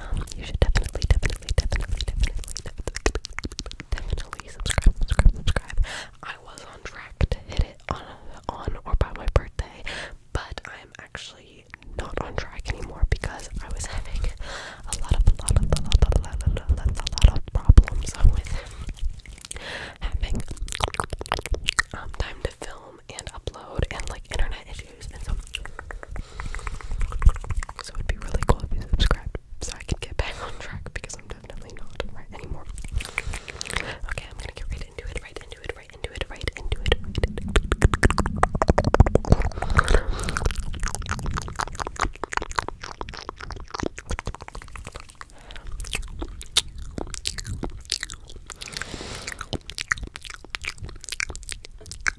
um, you should definitely, definitely, definitely, definitely, definitely, definitely subscribe, I was on track to hit it on, on or by my birthday, but I'm actually not on track anymore because I was having a lot of, a lot of, a lot of, a lot of, a lot of, a lot of problems with having um, time to film and upload and like internet issues so it'd be really cool if you subscribed so I can get back on track because I'm definitely not right anymore. Okay, I'm gonna get right into it, right into it, right into it, right into it, right into it.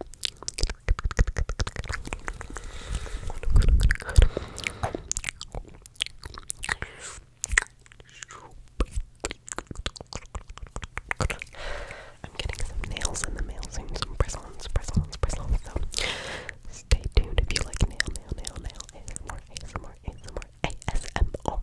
I'm getting some nails in the mail soon, some press-ons, press-ons, press-ons, so stay tuned if you like nail, nail, nail, nail, ASMR, ASMR, ASMR, ASMR,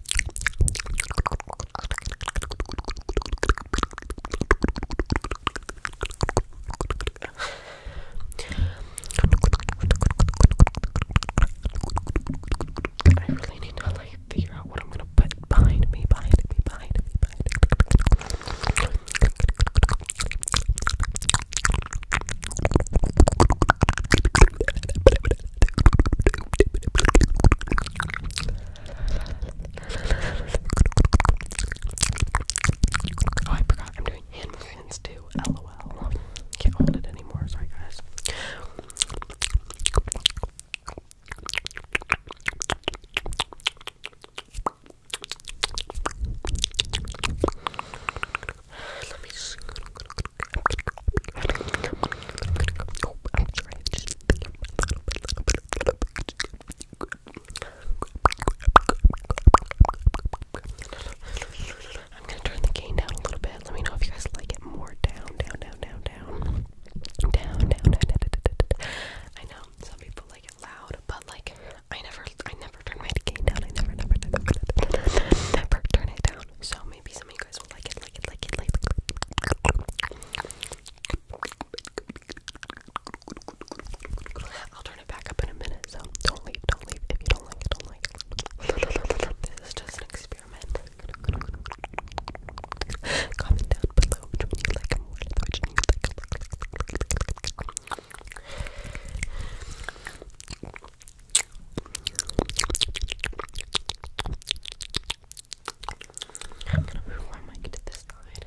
I really need to like figure out what I'm gonna put behind me, behind me, behind me, behind me. Oh, I forgot I'm doing hand movements too. LOL. Can't hold it anymore. Sorry, guys. Let me just. Oh, I'm sorry. I'm just I'm gonna turn the gain down a little bit. Let me know if you guys like it more down, down, down, down, down, down, down, down, down, down, down, down. I know some people like it loud, but like I never, I never turn my gain down. I never, never, never, never, never, never turn it down. So maybe some. I'll turn it back up in a minute, so don't leave, don't leave. If you don't like it, don't like this is just an experiment. Comment down below which you like. I'm gonna move my mic to this side.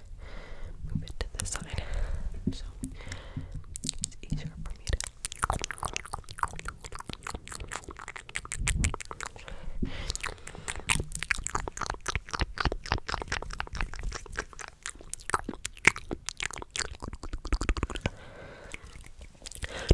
Move it to this side. So it's easier for me to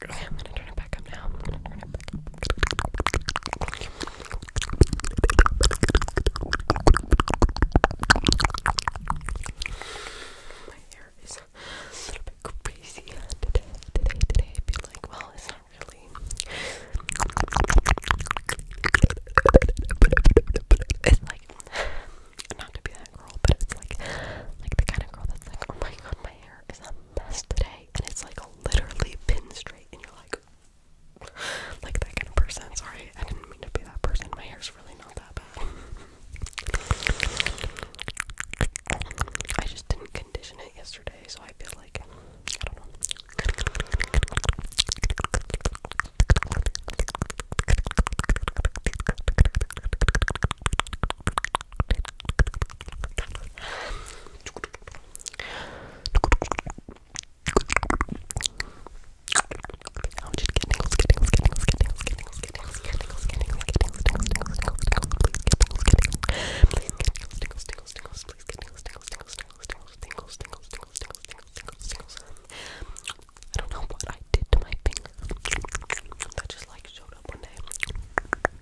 Okay, I'm gonna turn it back up now. I'm gonna turn it back up. My hair is a little bit crazy today, today, today. I'd well, it's not really. It's like, not to be that girl, but it's like, like the kind of girl that's like, oh my god, my hair is a mess today, and it's like literally pin straight, and you're like, like that kind of person. Sorry, I didn't mean to be that person. My hair's really not that bad. I just didn't condition it yesterday, so I feel like I don't know. I'm just getting tingles, get tingles, get tingles, get tingles, get tingles, get tingles, get tingles, get tingles, get tingles, tingles, tingles, tingles, tingles, please get tingles, get tingles, please get tingles, tingles, tingles, tingles, please get tingles, tingles, tingles, tingles, tingles, tingles, tingles, tingles, tingles, tingles, tingles, tingles. I don't know what I did to my finger. That just like showed up one day. I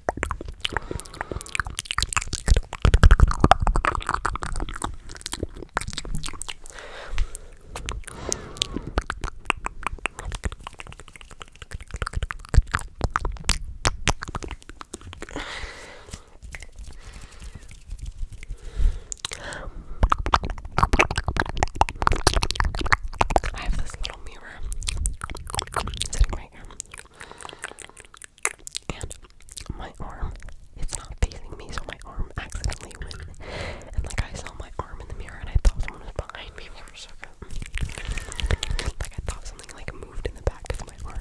have this little mirror sitting right here and my arm, it's not facing me, so my arm accidentally went, and like I saw my arm in the mirror and I thought someone was behind me for a second. Like I thought something like moved in the back of my arm.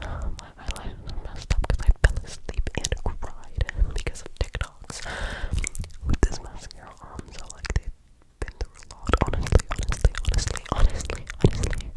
My eyelashes are messed up because I fell asleep and cried because of TikToks with this mascara on. So like they've been through a lot. Honestly, honestly, honestly, honestly, honestly.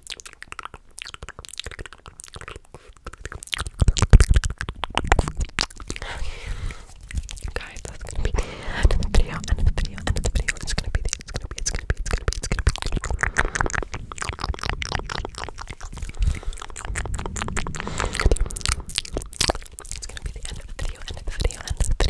Guys, that's gonna be another video, another video, another video. It's gonna be, it's gonna be, it's gonna be, it's gonna be, it's gonna be. It's gonna be, it's gonna be. It's gonna be the end of the video, end of the video, end of the